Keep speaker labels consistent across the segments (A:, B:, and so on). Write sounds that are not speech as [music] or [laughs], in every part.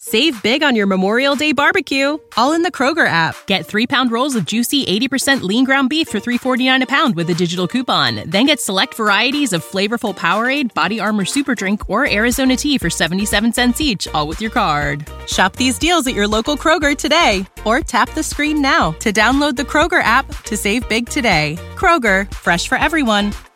A: Save big on your Memorial Day barbecue, all in the Kroger app. Get three pound rolls of juicy 80% lean ground beef for 3.49 a pound with a digital coupon. Then get select varieties of flavorful Powerade, Body Armor Super Drink, or Arizona tea for 77 cents each, all with your card. Shop these deals at your local Kroger today, or tap the screen now to download the Kroger app to save big today. Kroger, fresh for everyone.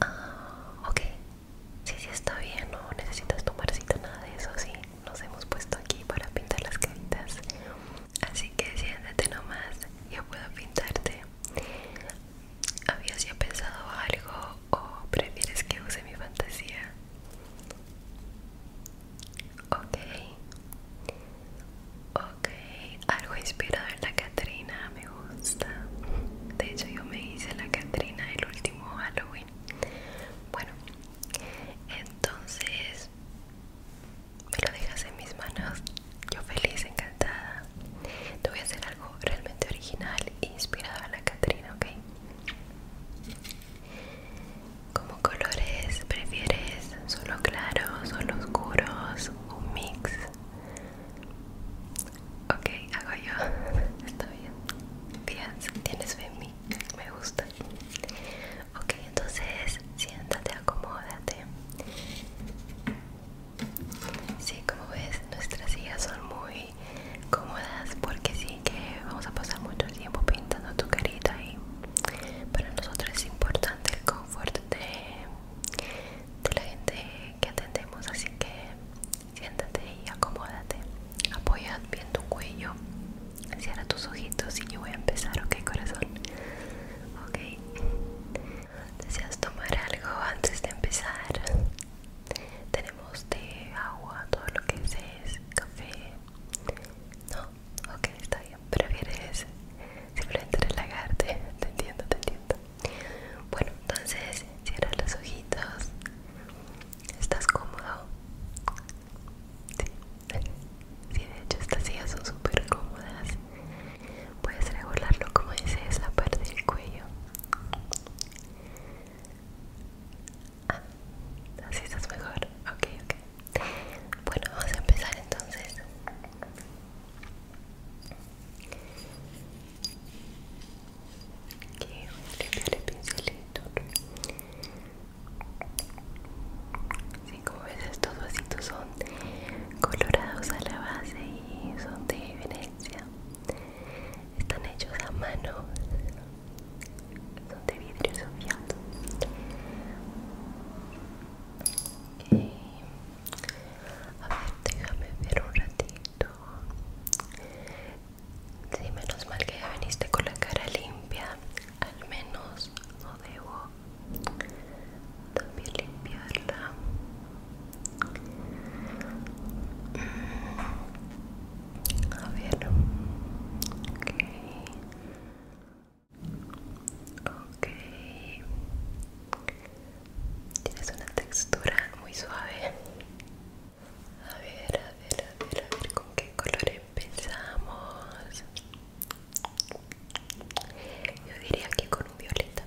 B: Ah, ok. Sí, sí, está bien. No necesitas tomar cita, nada de eso. Sí, nos hemos puesto aquí para pintar las caritas. Así que siéntate nomás. Yo puedo pintarte. ¿Habías ya pensado algo o prefieres que use mi fantasía? Ok. Ok, algo inspirado en la Catrina, me gusta. De hecho, yo me hice la Catrina el último Halloween. Bueno, entonces me lo dejas en mis manos. Yo feliz, encantada. Te voy a hacer algo realmente original inspirado en la Catrina, ok. ¿Cómo colores prefieres? ¿Solo claros, solo oscuros? un mix ok hago yo [laughs] está bien tienes fe en mí me gusta ok entonces siéntate acomódate si, como ves, nuestras sillas son muy cómodas porque sí que vamos a pasar mucho tiempo pintando tu carita y para nosotros es importante el confort de, la gente que atendemos, así que siéntate y acomódate. Apoya bien tu cuello, cierra tus ojitos y yo voy a empezar, ok corazón. Ok. ¿Deseas tomar algo antes de empezar? Tenemos té, agua, todo lo que es café. No, ok, está bien, prefieres simplemente relajarte, [laughs] te entiendo, te entiendo. Bueno, entonces cierras los ojitos, ¿estás cómodo? Sí, [laughs] sí de hecho estas sillas son súper cómodas, puedes regularlo como dices, la parte del cuello. Ah, así estás mejor, ok, ok. Bueno, vamos a empezar entonces. Aquí vamos el pincelito. Sí, como ves estos vasitos son colorados a la base y son de Venecia. Están hechos a mano. Son de vidrio sofiado. A ver, déjame ver un ratito. Sí, menos mal que ya viniste con la cara limpia. Al menos no debo también limpiarla. Mm. A ver. Ok. Tienes una textura muy suave. A ver, a ver, a ver, a ver con qué color empezamos. Yo diría que con un violeta.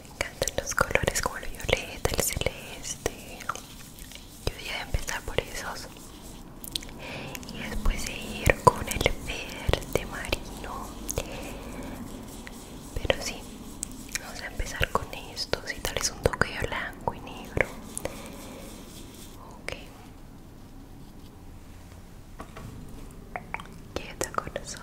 B: Me encantan los colores como el violeta, el celeste, yo voy a empezar por esos y después seguir con el verde marino pero sí vamos a empezar con estos y tal vez un toque de blanco y negro ok quieta corazón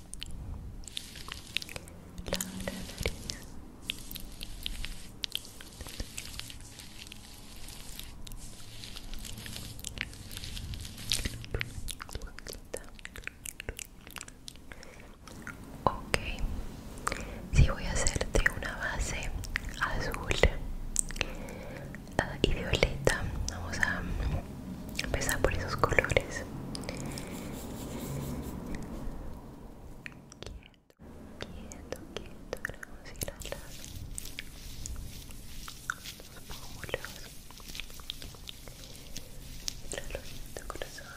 B: la ok si voy a hacerte una base azul ah, y violeta vamos a Empezar por esos colores. Quieto, quieto, quieto. Vamos a ir a las pómulos. El de corazón.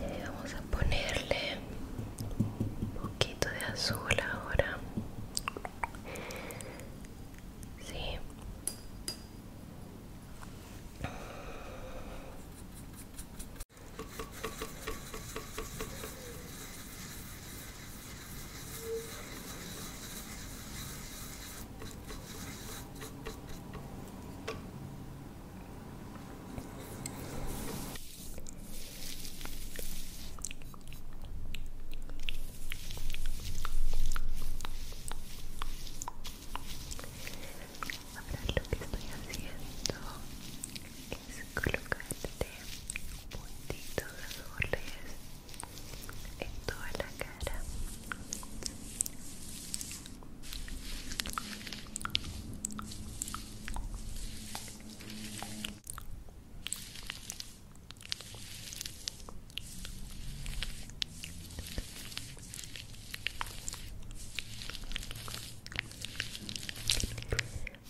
B: Eh, vamos a ponerle un poquito de azul ahora Ahora lo que estoy haciendo es colocarte puntitos azules en toda la cara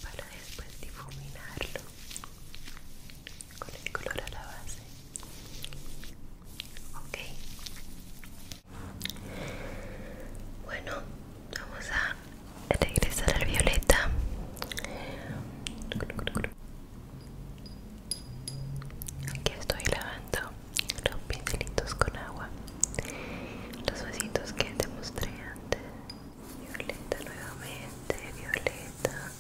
B: para después difuminarlo con el color a la base ok bueno, vamos a regresar al violeta. Aquí estoy lavando los pincelitos con agua. Los vasitos que te mostré antes. Violeta nuevamente, violeta.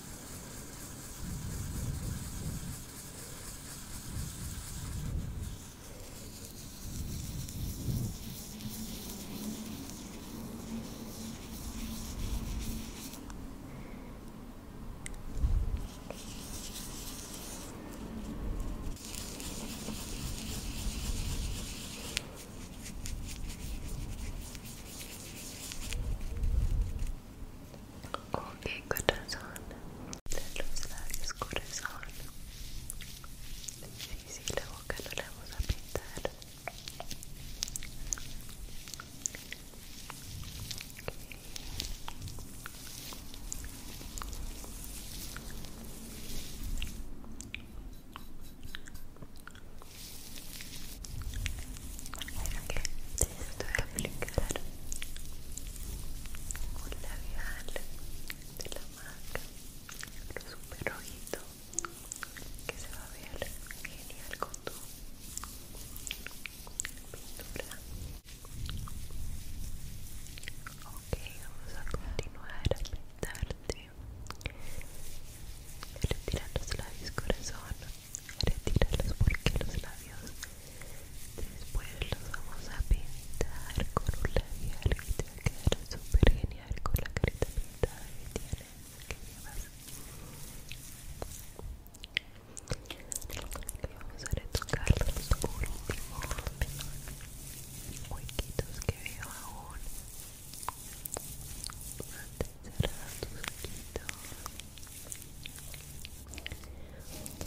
B: Okay, good, that's on. That looks like mis corazón sí, sí, la boca no la vamos a pintar Ahora que te estoy a aplicar un labial de la marca lo super que se va a ver genial con tu pintura ok vamos a continuar a pintarte retira los labios corazón retira los porque los labios Después los vamos a pintar con un labial que te va a quedar súper genial con la carita pintada que tienes, que Vamos a retocar los los huequitos que veo aún. de cerrar tus ojitos.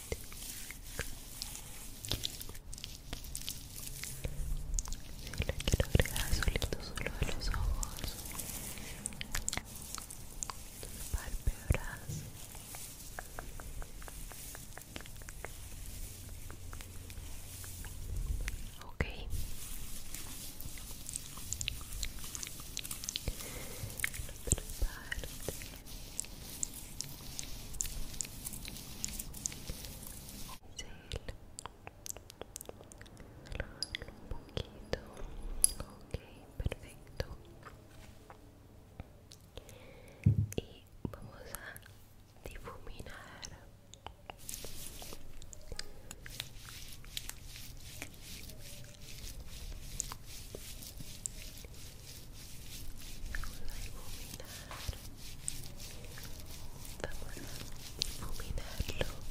B: Si le quiero agregar solito solo de los ojos tus ok la otra parte un poquito okay, perfecto y vamos a difuminar a difuminar vamos a difuminarlo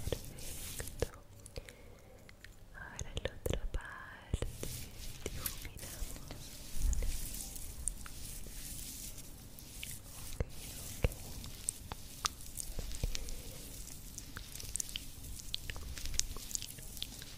B: perfecto ahora la otra parte difuminamos.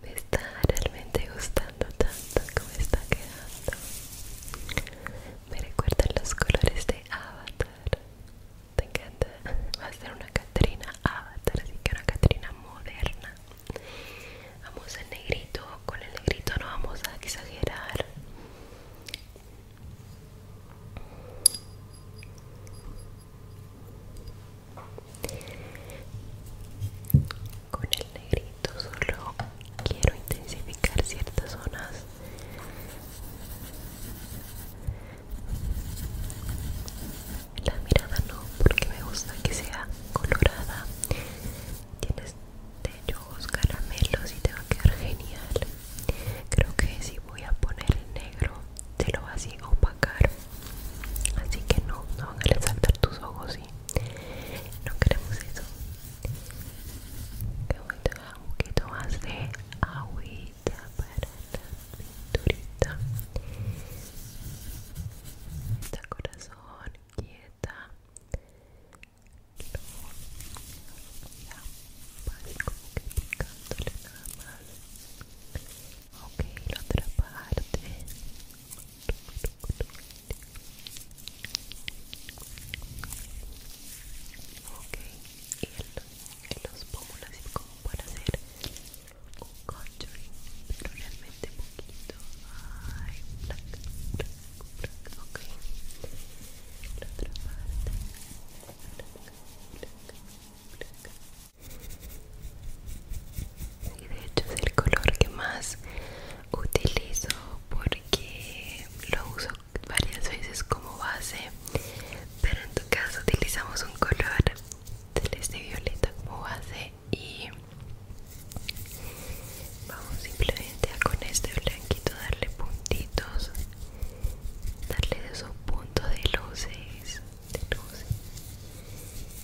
B: Me está realmente gustando tanto como está quedando. Me recuerdan los colores de Avatar. Te encanta. Va a ser una Catrina Avatar, así que una Catrina moderna. Vamos al negrito. Con el negrito no vamos a exagerar con el negrito solo quiero intensificar ciertas zonas la mirada no porque me gusta que sea colorada tienes ojos caramelos y te va a quedar genial creo que si voy a poner el negro te lo va así a opacar así que no, no van a resaltar tus ojos ¿sí? no queremos eso que voy a un poquito más de agüita para la pinturita De corazón quieta a pasar como que picándole nada más ok, la otra parte Ok, y en los pómulos es como para hacer un contouring, pero realmente poquito. Ay, black, black, black. Ok, la otra parte. blanca blanca black y de hecho es el color que más utilizo porque lo uso varias veces como base pero en tu caso utilizamos un color este violeta como base y vamos simplemente con este blanquito darle puntitos darle esos puntos de luces de luces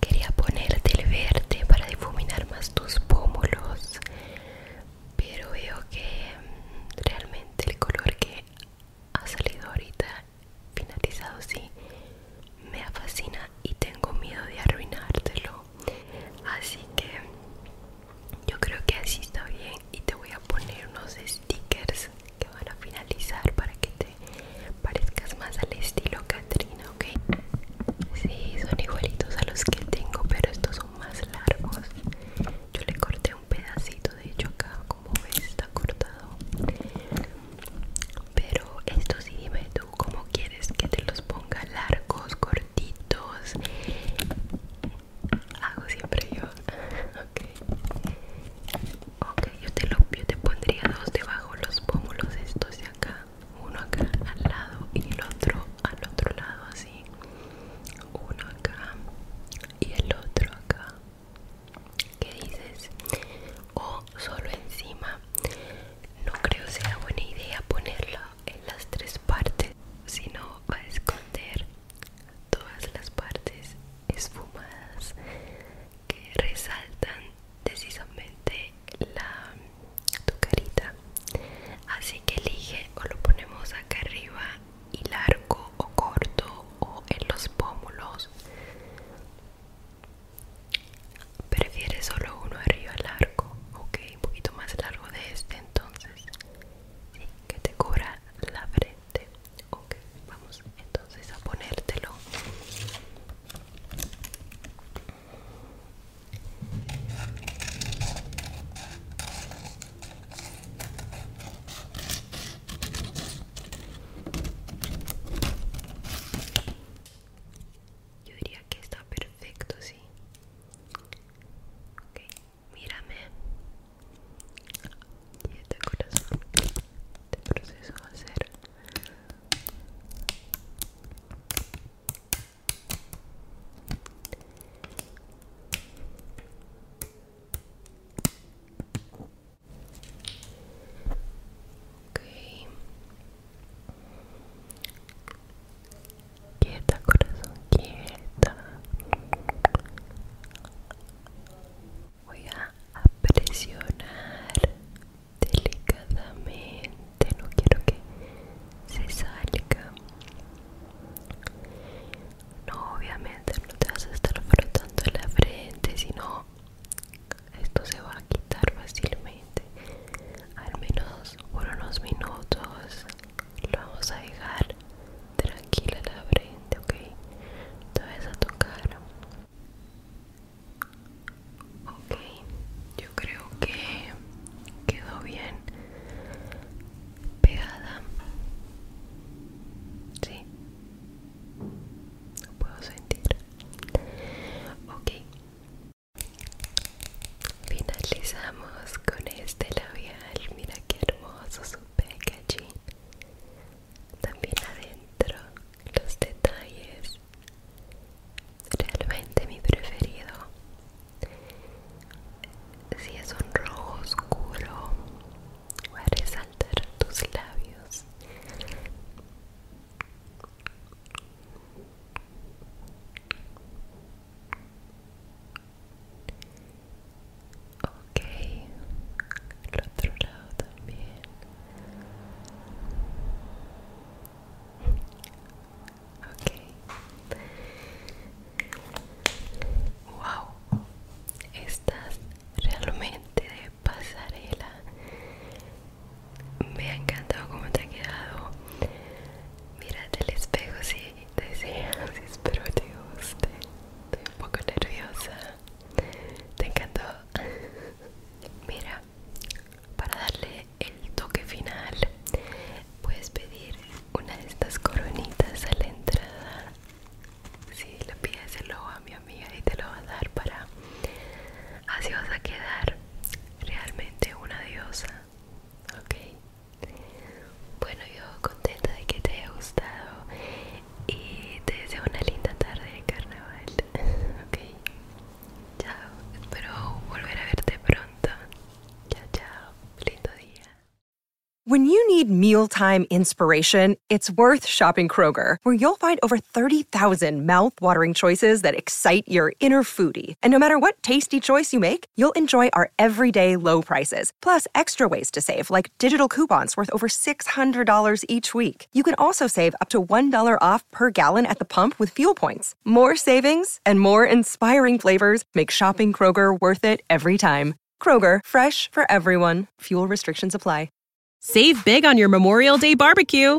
B: Quería ponerte el verde para difuminar más tus pómulos, pero veo que realmente el color que ha salido ahorita finalizado sí me ha fascinado y tengo miedo de arruinártelo así que yo creo que así está bien y te voy a poner unos stickers que van a finalizar para que te parezcas más al estilo Catrina ¿ok? Sí, son igualitos a los que tengo, pero estos son más largos. Yo le corté un pedacito, de hecho acá, como ves, está cortado. Pero esto sí, me como quieres que te los ponga largos, cortitos. Hago siempre yo. ok. yo te, lo, pondría dos debajo los pómulos estos de acá. Uno acá al lado y el otro al otro lado así. Uno acá y el otro acá. ¿Qué dices? O solo encima. No creo sea buena idea ponerla en las tres partes, sino va a esconder todas las partes esfumadas que resaltan Decisamente la tu carita. Así que elige o lo ponemos acá arriba y largo o corto o en los pómulos Prefiere solo uno arriba largo, ok, un poquito más largo de este entonces, que te cubra la frente, ok, vamos entonces a ponértelo. Yo diría que está perfecto, sí. mírame. Y este corazón. te este proceso a hacer Okay. Quieta, corazón, quieta. Voy a, presionar delicadamente. No quiero que se salga. No, obviamente no te vas a estar frotando la frente, sino esto se va a quitar fácilmente al menos por unos minutos lo vamos a dejar tranquila la frente ok te a tocar ok yo creo que quedó bien pegada sí lo puedo sentir ok Finalizamos con este labial, mira qué hermoso su packaging. También adentro los detalles. Realmente mi preferido. Si es un rojo oscuro, Va resaltar tus labios. Ok, el otro lado también. Ok. Wow, estás realmente de pasarela me ha encantado cómo te ha quedado. Mira te el espejo si deseas, [laughs] espero te guste. Estoy un poco nerviosa. Te encantó. [laughs] Mira, para darle el toque final, puedes pedir una de estas coronitas a la entrada. Si la le pides el logo a mi amiga y te lo va a dar para... Así vas a quedar realmente una diosa [laughs]
A: When you need mealtime inspiration, it's worth shopping Kroger, where you'll find over 30,000 thousand mouth-watering choices that excite your inner foodie, and no matter what tasty choice you make, you'll enjoy our everyday low prices, plus extra ways to save, like digital coupons worth over $600 each week. You can also save up to $1 off per gallon at the pump with fuel points. More savings and more inspiring flavors make shopping Kroger worth it every time. Kroger, fresh for everyone. Fuel restrictions apply. Save big on your Memorial Day barbecue